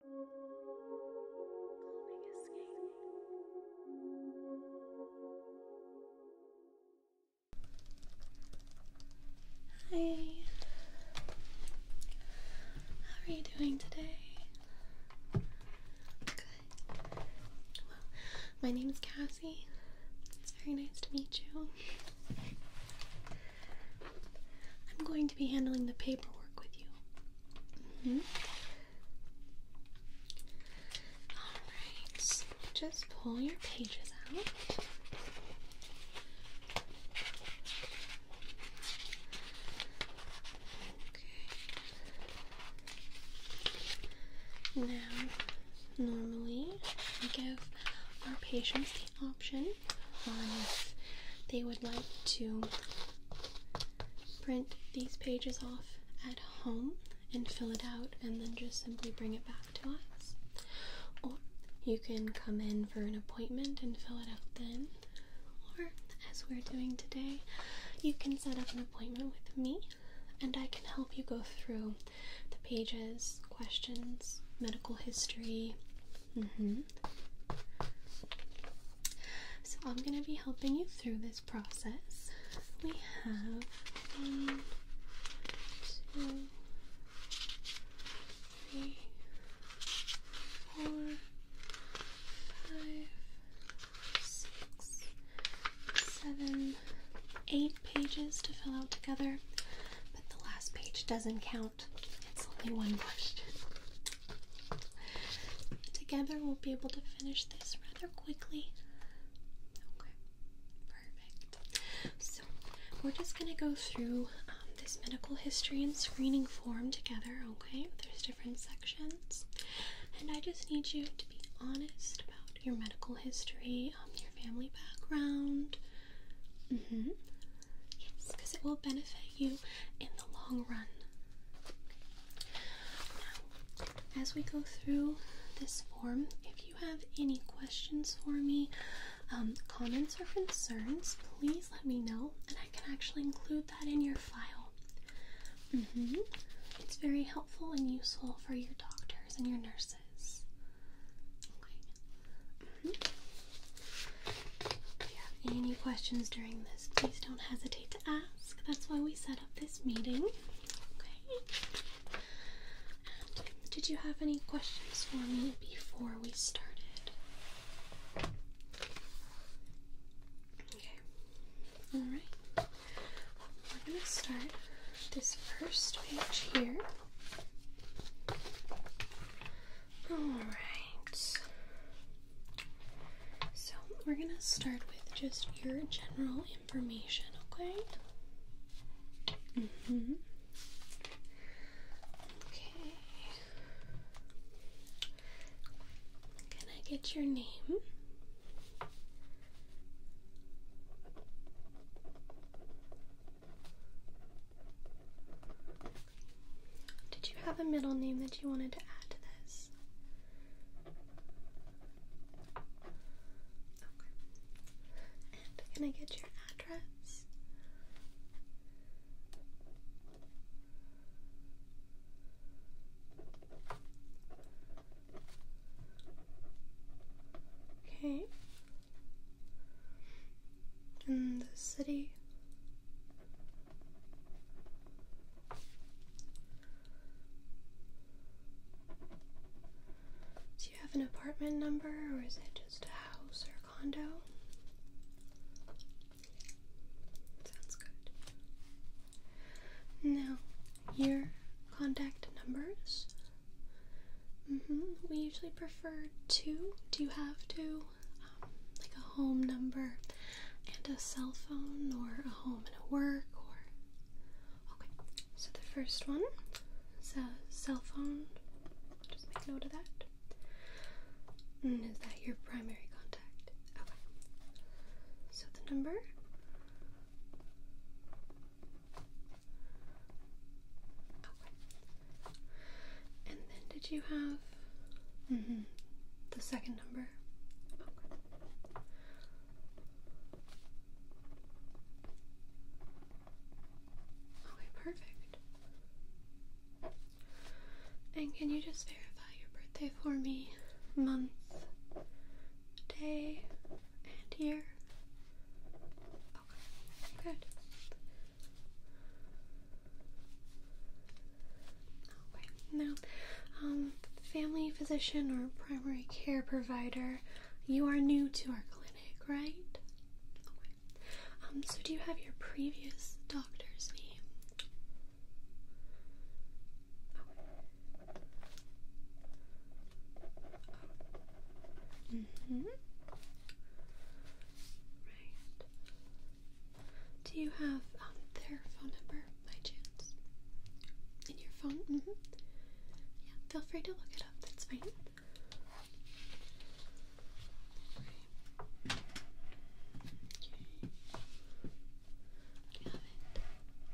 Hi. How are you doing today? Good. Well, my name is Cassie. It's very nice to meet you. I'm going to be handling the paperwork with you. Alright, just pull your pages out. Okay. Now, normally we give our patients the option if um, they would like to print these pages off at home and fill it out and then just simply bring it back to us. Or you can come in for an appointment and fill it out then. Or, as we're doing today, you can set up an appointment with me and I can help you go through the pages, questions, medical history. Mm-hmm, so I'm going to be helping you through this process. We have one, two, three, four, five, six, seven, eight pages to fill out together, but the last page doesn't count out. It's only one question. Together, we'll be able to finish this rather quickly. Okay, perfect. So, we're just gonna go through um, this medical history and screening form together, okay? There's different sections. And I just need you to be honest about your medical history, um, your family background. Mm-hmm. Yes, because it will benefit you in the long run. Now, as we go through this form, if you have any questions for me, um, comments, or concerns, please let me know, and I can actually include that in your file. Mm-hmm. It's very helpful and useful for your doctors and your nurses. Mm-hmm. If you have any questions during this, please don't hesitate to ask. That's why we set up this meeting. Okay. did you have any questions for me before we started? Okay. All right. We're going to start this first page here. Alright. So we're gonna start with just your general information, okay? Mm-hmm. Okay. Can I get your name? Did you have a middle name that you wanted to add to this? And can I get your address? Okay. And the city? Do you have an apartment number or is it just a house or condo? Sounds good. Now, your contact numbers. Mm-hmm. We usually prefer two. Do you have two? like a home number and a cell phone, or a home and a work, or okay. So the first one so cell phone. Just make note of that. Is that your primary contact? Okay. So the number. Okay. And then did you have Mm-hmm. The second number. Okay, perfect. And can you just verify your birthday for me? Month, day, and year? Okay, good. Okay. Now, um, family physician or primary care provider, you are new to our clinic, right? Okay. Um, so do you have your previous doctor's name? Mm-hmm. Right. Do you have um, their phone number by chance? In your phone? Mm hmm. Yeah, feel free to look it up, that's fine.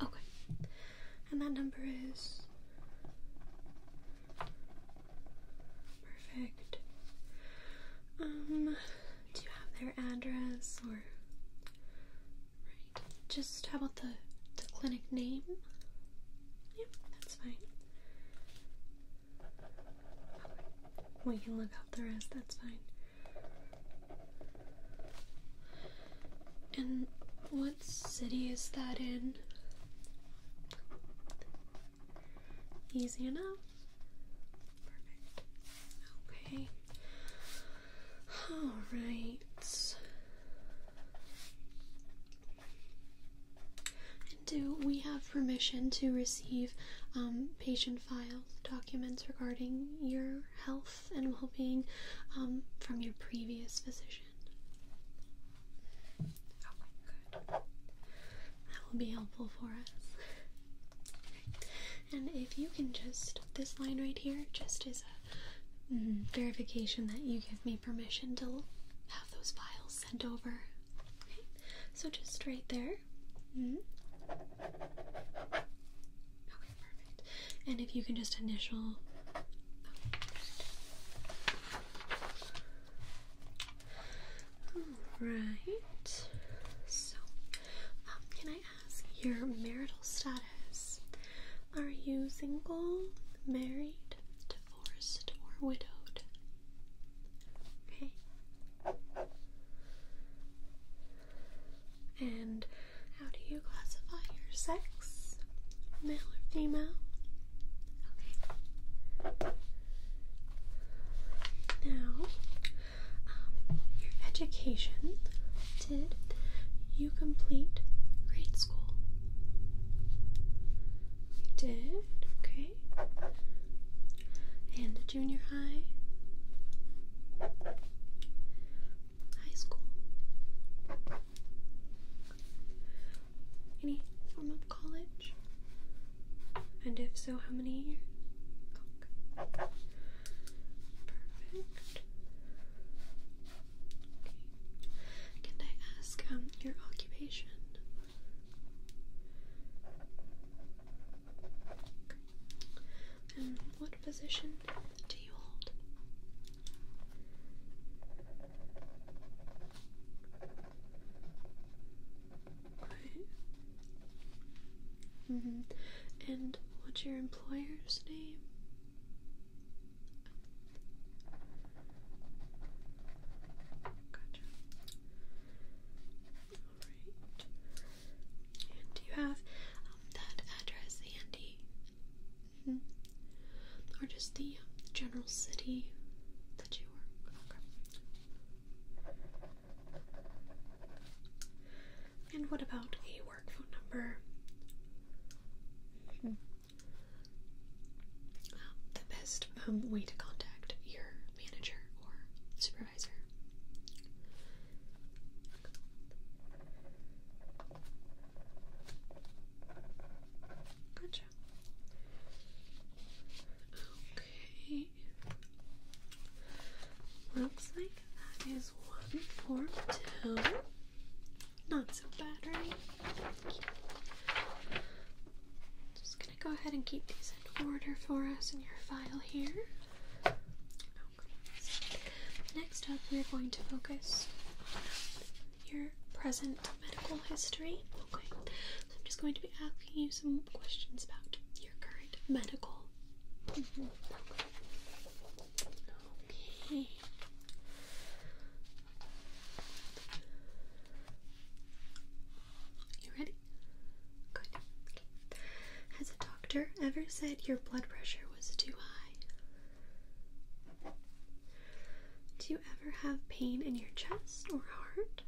Okay. And that number is. Perfect. Um, do you have their address or right? Just how about the the clinic name? Yep, that's fine. We can look up the rest. That's fine. And what city is that in? Easy enough. Okay. All right. And do we have permission to receive um, patient files, documents regarding your health and well-being um, from your previous physician? That will be helpful for us. And if you can just, this line right here, just as a mm-hmm, verification that you give me permission to have those files sent over. Okay, so just right there. Mm-hmm. Okay, perfect. And if you can just initial. Oh, Alright. So, um, can I ask your marital status? Are you single, married, divorced, or widowed? Okay. And how do you classify your sex? Male or female? Okay. Now, your um, education. Did you complete grade school? You did, okay. And junior high? High school? Any form of college? And if so, how many Perfect. Okay. Can I ask um, your occupation? And what position do you hold? mm -hmm. And what's your employer's name? Gotcha. Alright. do you have um, that address handy? Mm-hmm. Or just the general city that you work? And what about a work phone number? the best um, way to contact your manager or supervisor. Gotcha. Okay. Looks like that is one, four, two. Not so bad, right? Just gonna go ahead and keep these in order for us in your file here. Next up, we're going to focus on your present medical history. Okay, so I'm just going to be asking you some questions about your current medical you ready? Good. Has a doctor ever said your blood pressure was too high? Do you ever have pain in your chest or heart?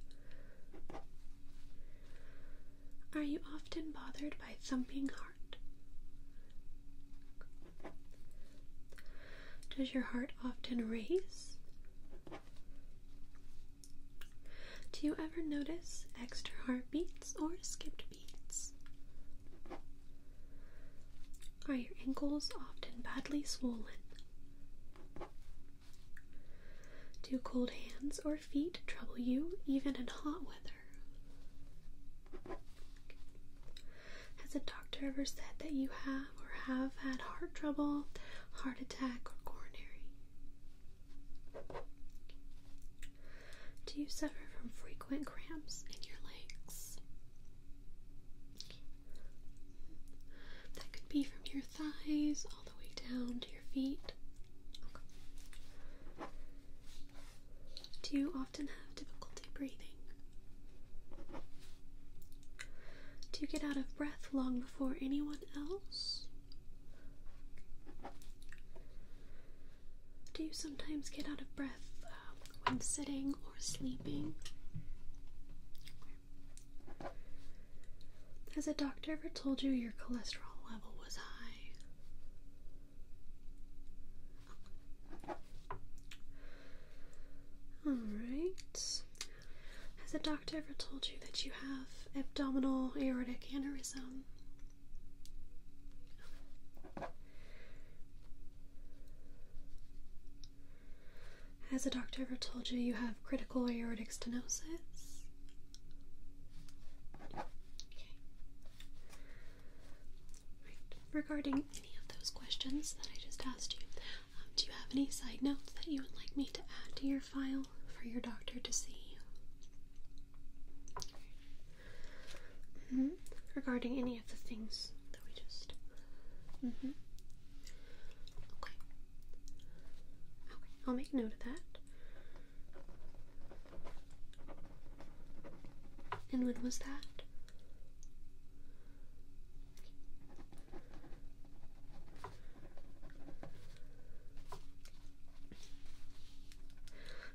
Are you often bothered by thumping heart? Does your heart often race? Do you ever notice extra heartbeats or skipped beats? Are your ankles often badly swollen? Do cold hands or feet trouble you even in hot weather? Has a doctor ever said that you have or have had heart trouble, heart attack, or coronary? Do you suffer from frequent cramps in your legs? That could be from your thighs way down to your feet. Do you often have difficulty breathing? Do you get out of breath long before anyone else? Do you sometimes get out of breath um, when sitting or sleeping? Has a doctor ever told you your cholesterol level was high? Alright. Has a doctor ever told you that you have abdominal aortic aneurysm? Has a doctor ever told you you have critical aortic stenosis? Regarding any of those questions that I just asked you, um, do you have any side notes that you would like me to add to your file for your doctor to see? Mm-hmm. Regarding any of the things that we just. Mm-hmm. Okay. Okay, I'll make note of that. And when was that?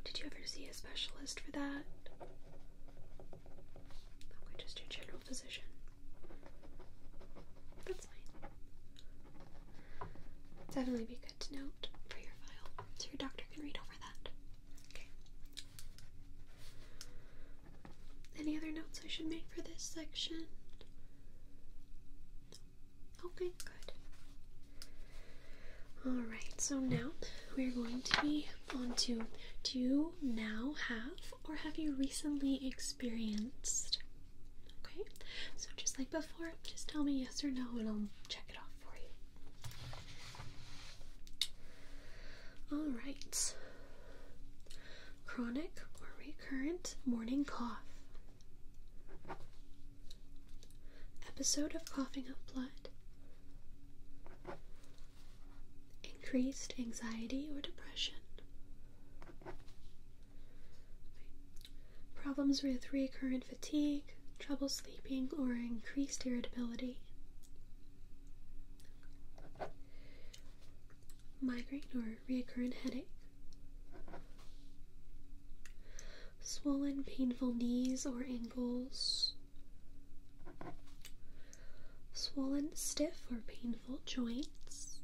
Did you ever see a specialist for that? Okay, just your general physician. That's fine. Definitely be good note for your file so your doctor can read over that. Okay. Any other notes I should make for this section? Okay, good. Alright, so now we're going to be on to do you now have or have you recently experienced Okay, so just like before, just tell me yes or no and I'll check it off for you. Alright. Chronic or recurrent morning cough. Episode of coughing up blood. Increased anxiety or depression. Problems with recurrent fatigue, trouble sleeping, or increased irritability. Migraine or recurrent headache. Swollen, painful knees or ankles. Swollen, stiff, or painful joints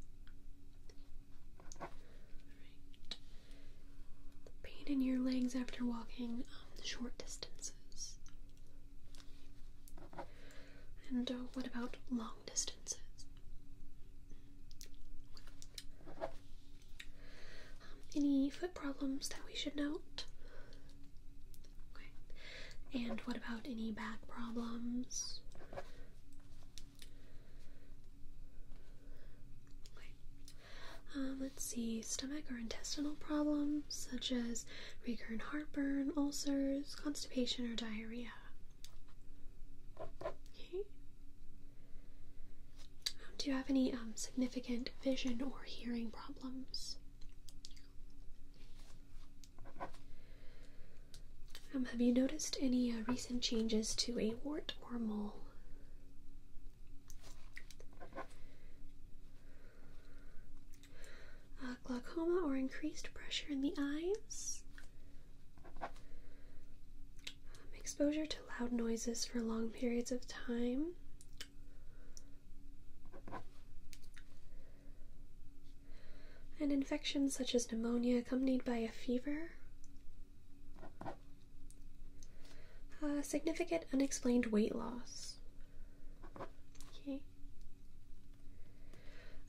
pain in your legs after walking um, short distances. And uh, what about long distances? Um, any foot problems that we should note? And what about any back problems? Um, let's see, stomach or intestinal problems such as recurrent heartburn, ulcers, constipation, or diarrhea. Okay. Um, do you have any um, significant vision or hearing problems? Um, have you noticed any uh, recent changes to a wart or mole? Uh, glaucoma or increased pressure in the eyes. Um, exposure to loud noises for long periods of time. And infections such as pneumonia accompanied by a fever. Uh, significant unexplained weight loss. Okay.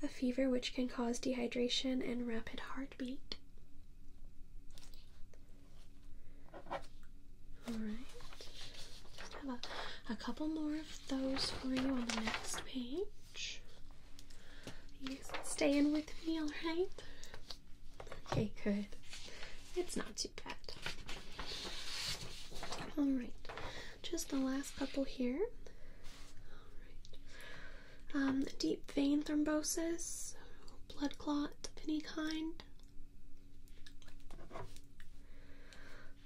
A fever which can cause dehydration and rapid heartbeat. Alright. have a, a couple more of those for you on the next page. You staying with me, alright? Okay, good. It's not too bad. All right, just the last couple here. All right. Um, deep vein thrombosis, blood clot of any kind.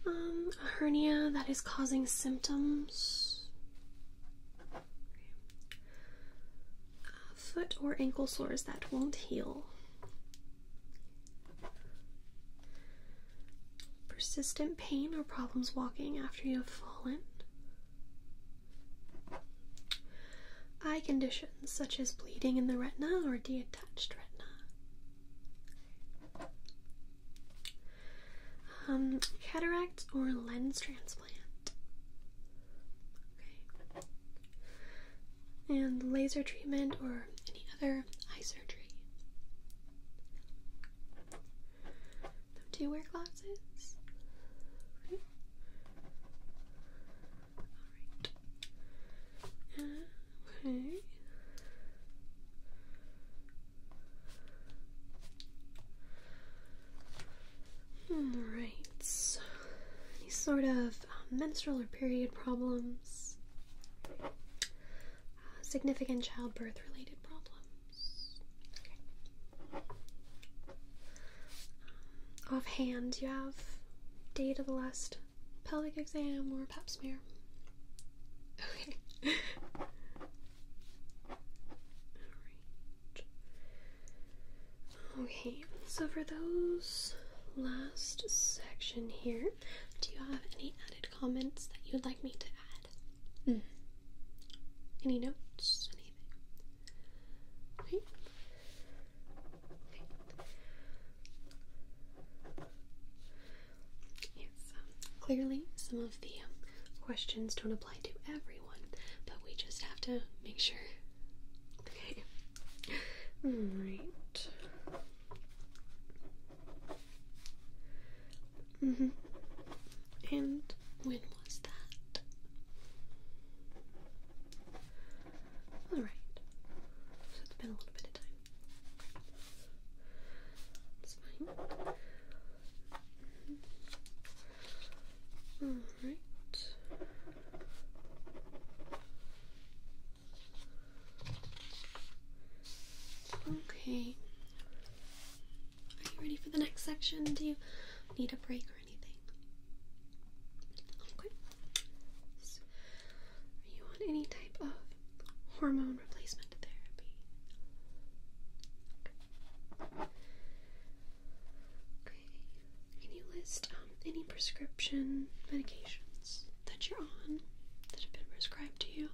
Um, a hernia that is causing symptoms. Uh, foot or ankle sores that won't heal. Persistent pain or problems walking after you have fallen. Eye conditions such as bleeding in the retina or detached retina. Um, cataracts or lens transplant. And laser treatment or any other eye surgery. Do you wear glasses? okay. Uh, Alright. Any sort of uh, menstrual or period problems? Uh, significant childbirth related problems? Okay. Um, offhand, you have date of the last pelvic exam or pap smear? Okay. Okay, so for those last section here, do you have any added comments that you'd like me to add? Mm. Any notes? Anything? Okay. okay. Yes, um, clearly some of the um, questions don't apply to everyone, but we just have to make sure Okay. Right. hmm And when was that? Alright. So it's been a little bit of time. That's fine. Mm-hmm. All right. Okay. Are you ready for the next section? Do you need a break or anything? Okay. are you on any type of hormone replacement therapy? okay. Can you list um, any prescription medications that you're on that have been prescribed to you?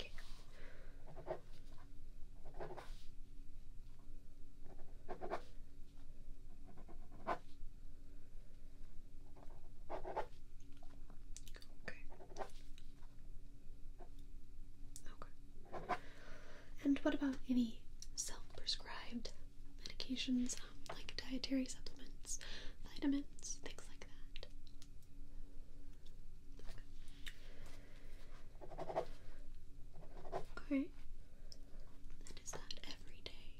Okay. Okay. Okay. And what about any self-prescribed medications, um, like dietary supplements, vitamins, things like that? Okay. is that every day?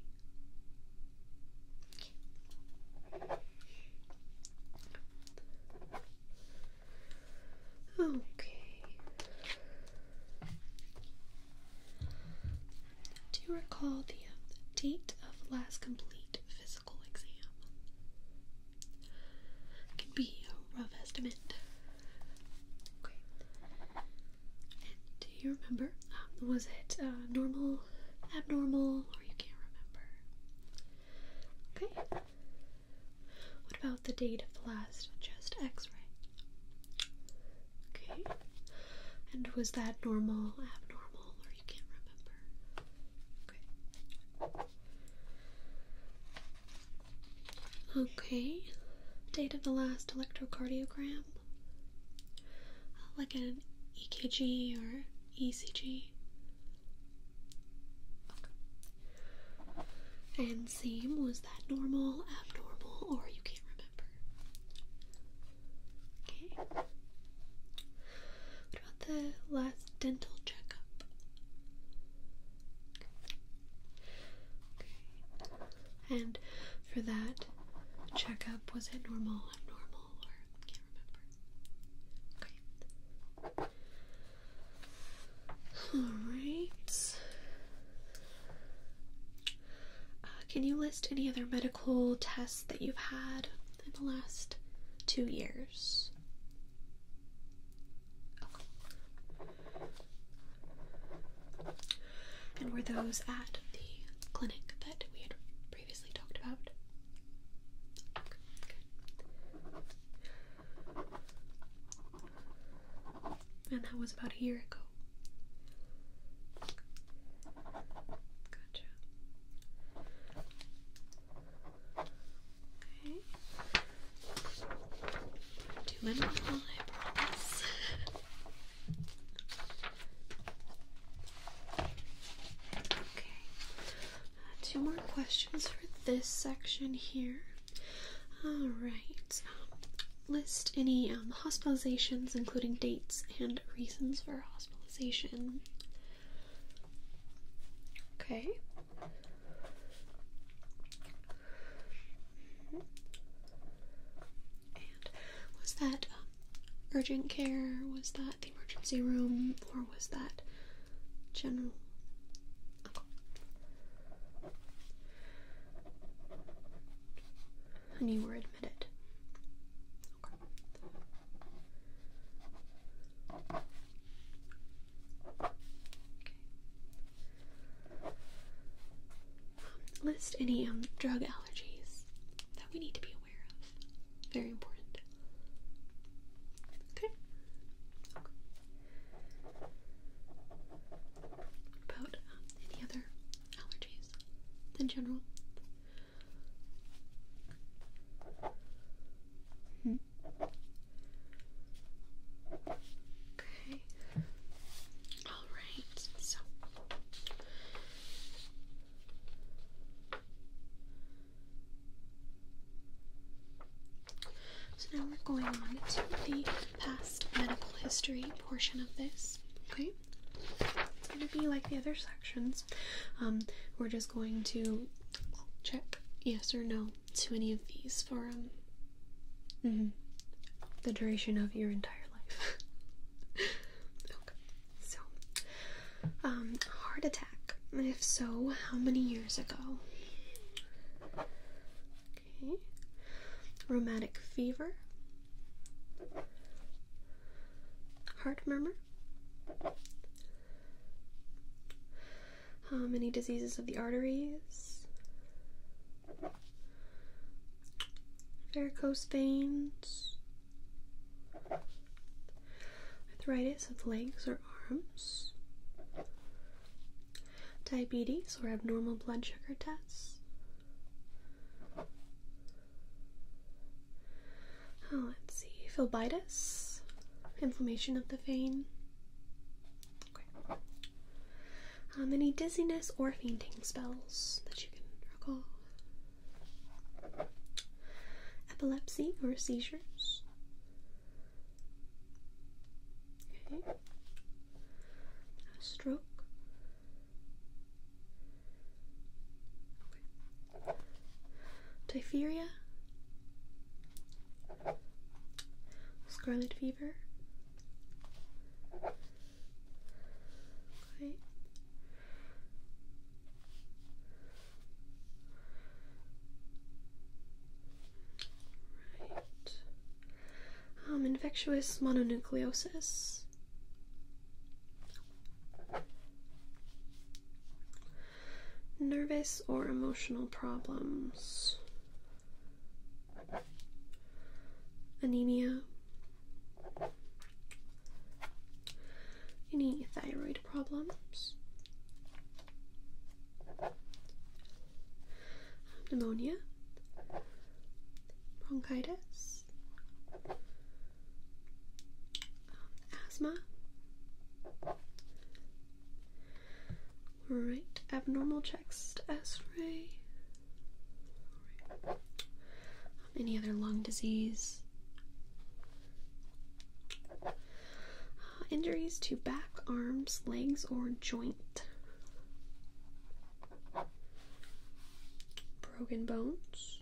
Okay. Do you recall the uh, date of last complete physical exam? can be a rough estimate. Okay. do you remember? Um, was it uh, normal, abnormal, or you can't remember? Okay. What about the date of the last chest x ray? Okay. And was that normal, abnormal, or you can't remember? Okay. Okay. Date of the last electrocardiogram? Uh, like an EKG or ECG? Okay. And same was that normal, abnormal, or you can't remember? Okay. What about the last dental checkup? Okay. And for that checkup, was it normal, abnormal, or can't remember? Okay. All right. Uh, can you list any other medical tests that you've had in the last two years? And were those at the clinic that we had previously talked about? And that was about a year ago. Gotcha. Okay. Two uh, two more questions for this section here. All right. List any um, hospitalizations, including dates and reasons for hospitalization. Okay. And was that um, urgent care? Was that the emergency room? Or was that general? and you were admitted. Okay. Okay. List any um, drug allergies that we need to be aware of. Very important. okay about um, any other allergies in general. Hmm. Okay. All right. So. So now we're going on to the past medical history portion of this. Okay, it's going to be like the other sections. Um, we're just going to check yes or no to any of these for um, mm-hmm, the duration of your entire life. okay, so um, heart attack. if so, how many years ago? Okay. Rheumatic fever. Heart murmur. Uh, many diseases of the arteries? Varicose veins. Arthritis of legs or arms diabetes or abnormal blood sugar tests? Oh, let's see. Phlebitis, inflammation of the vein. Okay. Um, any dizziness or fainting spells that you can recall? Epilepsy or seizures? Okay a stroke. Okay. scarlet fever. Okay. Right. Um, infectious mononucleosis. Nervous or emotional problems, anemia, any thyroid problems, pneumonia, bronchitis, um, asthma, right, abnormal chest x-ray, any other lung disease, uh, injuries to back, arms, legs, or joints. Broken bones.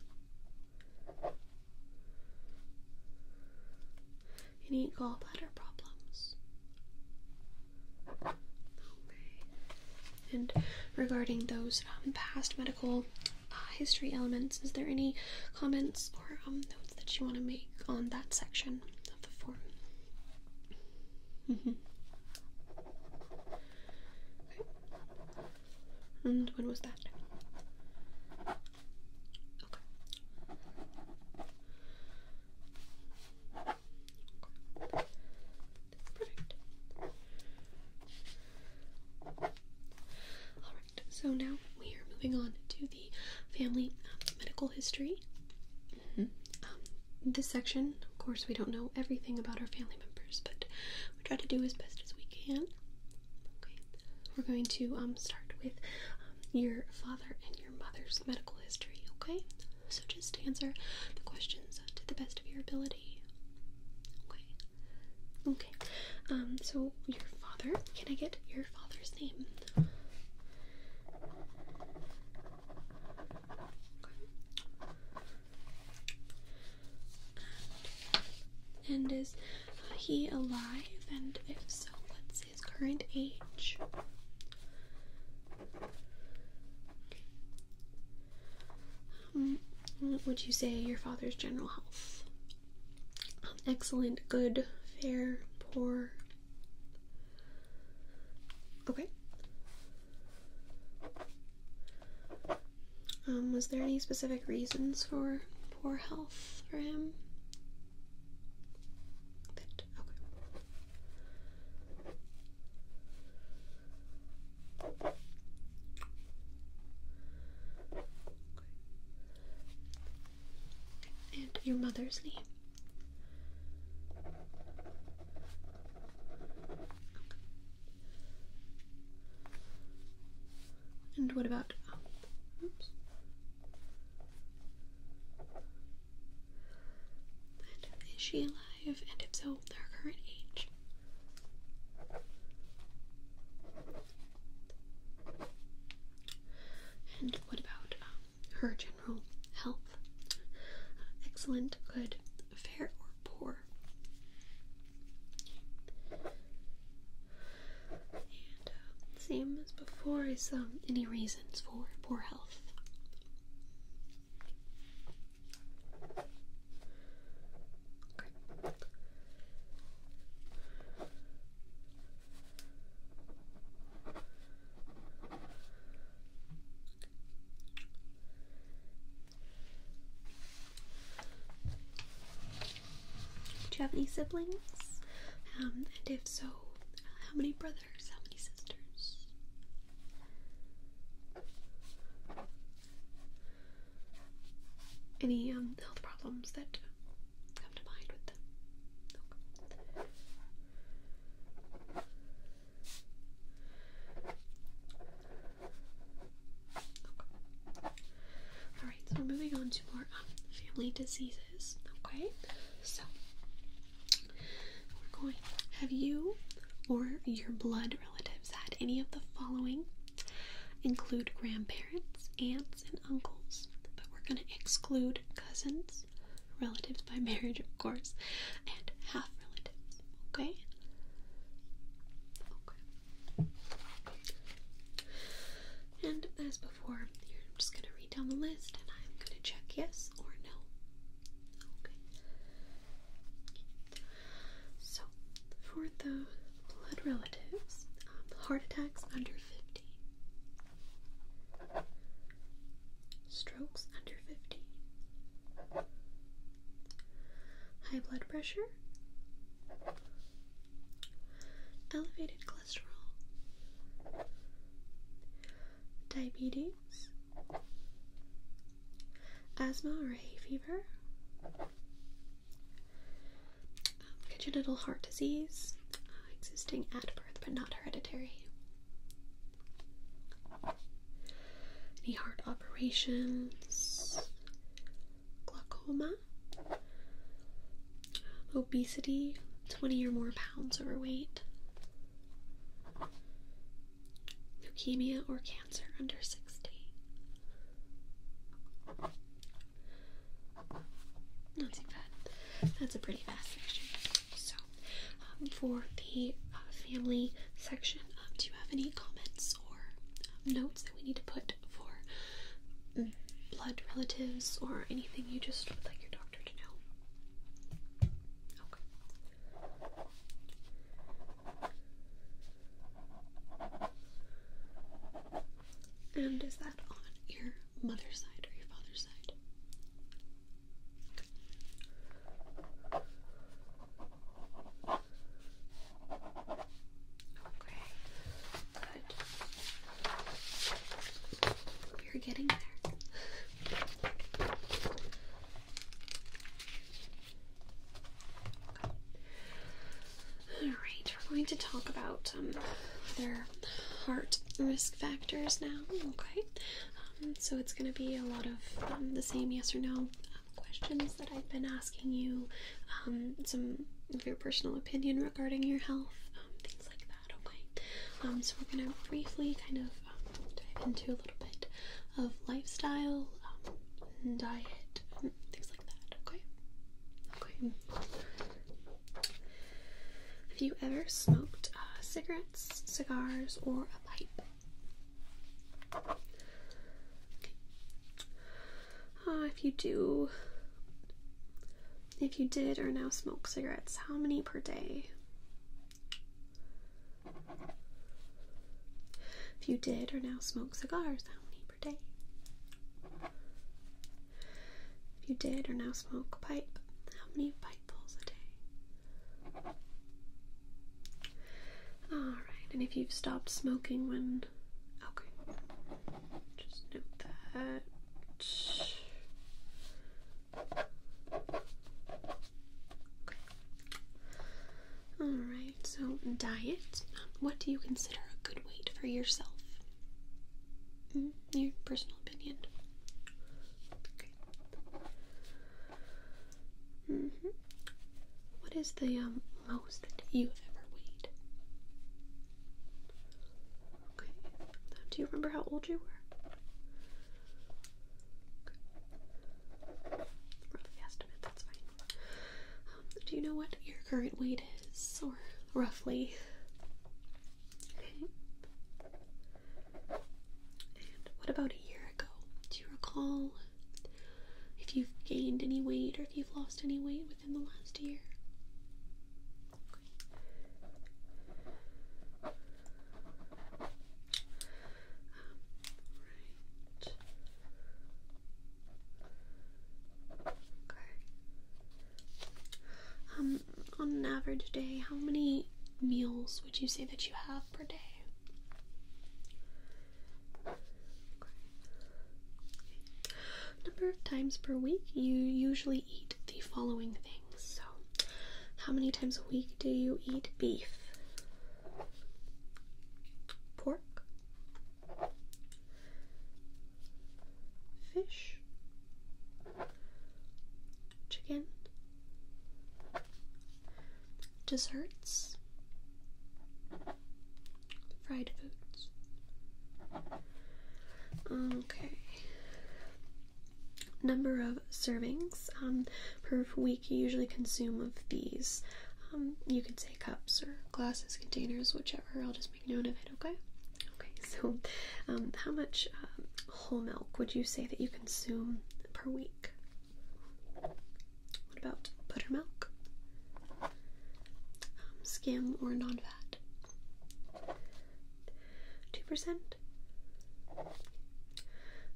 Any gallbladder problems? Okay. And regarding those um, past medical uh, history elements, is there any comments or um, notes that you want to make on that section of the form? Mm -hmm. Okay. And when was that? Okay. Perfect. Alright, so now we are moving on to the family um, medical history. Mm -hmm this section, of course, we don't know everything about our family members, but we try to do as best as we can. Okay, we're going to um, start with um, your father and your mother's medical history. Okay, so just answer the questions to the best of your ability. Okay, okay. Um, so your father. Can I get your father's name? And, is he alive? And if so, what's his current age? Um, what would you say your father's general health? Um, excellent, good, fair, poor. Okay. Um, was there any specific reasons for poor health for him? And your mother's name. And what about Oops. is she alive? And if so, their current age. And what about um, her gender? health. Uh, excellent, good, fair, or poor. Uh, same as before is um, any reasons for poor health. Do you have any siblings? Um, and if so, how many brothers? How many sisters? Any um, health problems that come to mind with them? Alright, so we're moving on to more um, family diseases. Okay, so we're going. Have you or your blood relatives had any of the following? Include grandparents, aunts, and uncles, but we're going to exclude cousins, relatives by marriage, of course, and half relatives. Okay? And as before, you're just going to read down the list and I'm going to check yes or no. Okay. So, for the blood relatives, um, heart attacks under 50, strokes under 50, High blood pressure, elevated cholesterol, diabetes, asthma or hay fever, um, congenital heart disease, uh, existing at birth but not hereditary any heart operations, glaucoma, obesity, 20 or more pounds overweight, leukemia or cancer under 60. Not too bad. That's a pretty fast section. So, um, for the uh, family section. Um, do you have any comments or um, notes that we need to put for mm, blood relatives or anything you just would like your doctor to know? Okay. And is that on your mother's side or your father's side? Okay, good. You're getting there. All right, we're going to talk about um, other heart risk factors now. Okay, um, so it's going to be a lot of um, the same yes or no um, questions that I've been asking you, some of your personal opinion regarding your health, things like that, okay? so we're going to briefly kind of dive into a little bit of lifestyle, diet, um, things like that, okay? Okay. Have you ever smoked uh, cigarettes, cigars, or a pipe? Okay. Uh, if you do, if you did or now smoke cigarettes, how many per day? If you did or now smoke cigars, how many per day? If you did or now smoke pipe, how many pipe Alright, and if you've stopped smoking when. Okay. Just note that. Okay. Alright, so diet. What do you consider a good weight for yourself? Mm, your personal opinion. Mm -hmm. What is the um, most that you ever weighed? Okay. Um, do you remember how old you were? Okay. estimate, that's fine. Um, do you know what your current weight is, or roughly? Okay. And what about a year ago? Do you recall if you've gained any weight or if you've lost any weight within the last year? Um, right. Okay. Um, on an average day, how many meals would you say that you have per day? Number of times per week you usually eat the following things. So, how many times a week do you eat beef? Pork? Fish? Chicken? desserts, fried foods. Okay. Number of servings um, per week. You usually consume of these. Um, you can say cups or glasses, containers, whichever. I'll just make note of it. Okay. Okay. So, um, how much uh, whole milk would you say that you consume per week? What about buttermilk? Um, skim or non fat? 2%?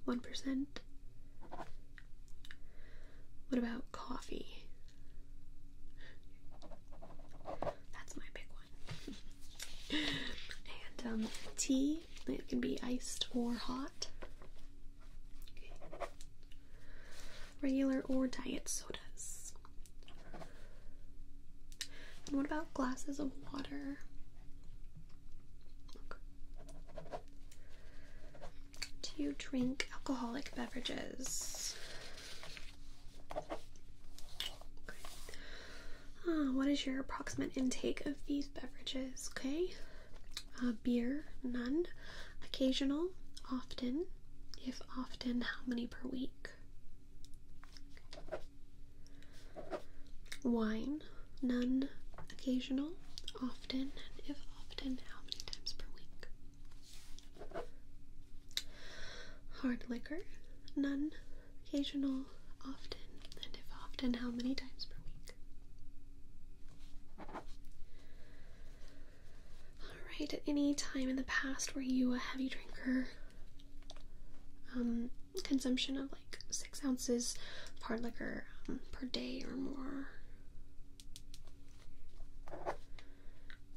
1%? What about coffee? That's my big one. and um, tea it can be iced or hot. Regular or diet sodas. what about glasses of water? Do you drink alcoholic beverages? Uh, what is your approximate intake of these beverages? Okay. Uh, beer, none. Occasional, often. If often, how many per week? Wine, none. Occasional, often. And if often, how many times per week? Hard liquor, none. Occasional, often. And if often, how many times per week? Alright, at any time in the past were you a heavy drinker? Um, consumption of like six ounces of hard liquor um, per day or more.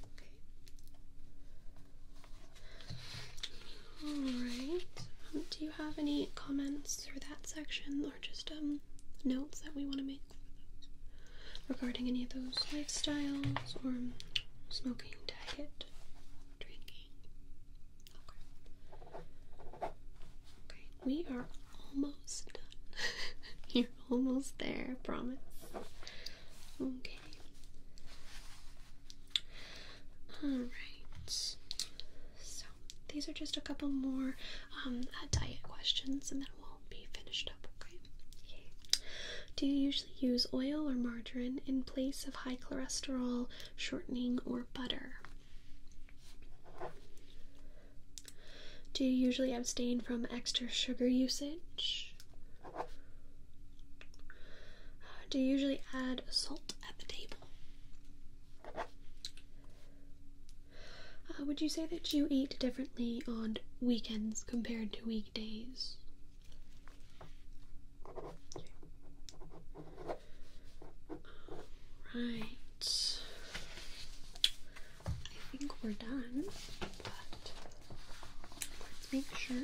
Okay. Alright. Um, do you have any comments for that section just um, notes that we want to make regarding any of those lifestyles or smoking, diet, drinking. Okay. Okay, we are almost done. You're almost there, promise. Okay. Alright. So these are just a couple more um, uh, diet questions, and then we'll be finished up. Okay. Do you usually use oil or margarine in place of high cholesterol shortening or butter? Do you usually abstain from extra sugar usage? Do you usually add salt at the table? Uh, would you say that you eat differently on weekends compared to weekdays? Right. I think we're done, but let's make sure.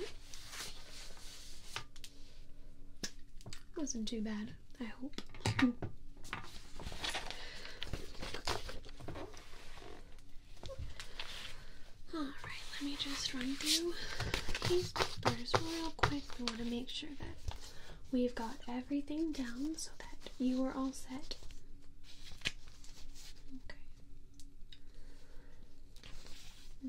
Wasn't too bad. I hope. Alright, let me just run through these papers real quick. We want to make sure that we've got everything down so that you are all set. Okay. Hmm.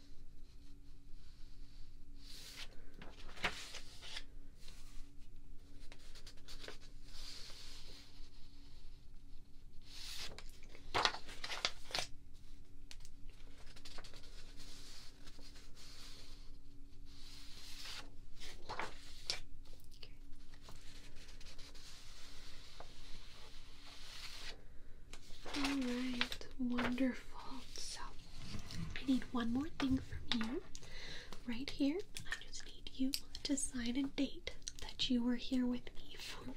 All right, wonderful. I need one more thing from you. Right here, I just need you to sign a date that you were here with me for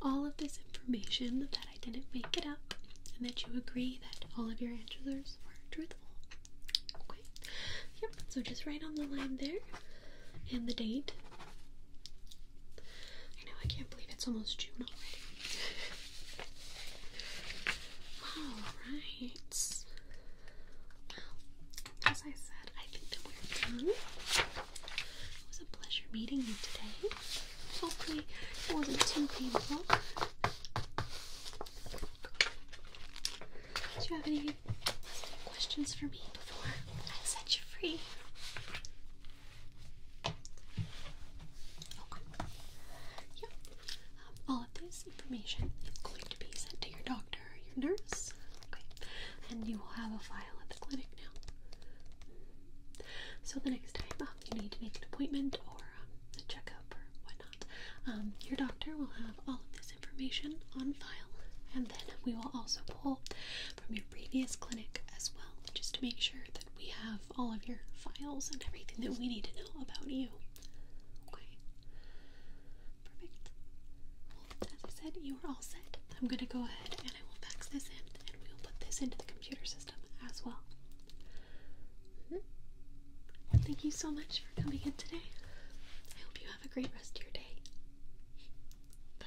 all of this information, that I didn't make it up, and that you agree that all of your answers are truthful. Okay? Yep, so just write on the line there, and the date. I know, I can't believe it's almost June already. Alright. Well, as I said, I think that we're done. It was a pleasure meeting you today. Hopefully, it wasn't too painful. Do you have any questions for me before I set you free? Yeah. Um, all of this information is going to be sent to your doctor or your nurse. Okay. And you will have a file at the clinic now. So the next time um, you need to make an appointment or um, a checkup or whatnot, um, your doctor will have all of this information on file. And then we will also pull from your previous clinic as well, just to make sure that we have all of your files and everything that we need to know about you. Okay. Perfect. as I said, you are all set. I'm going to go ahead and I will fax this in and we will put this into the computer system as well. well. Thank you so much for coming in today. I hope you have a great rest of your day. Bye.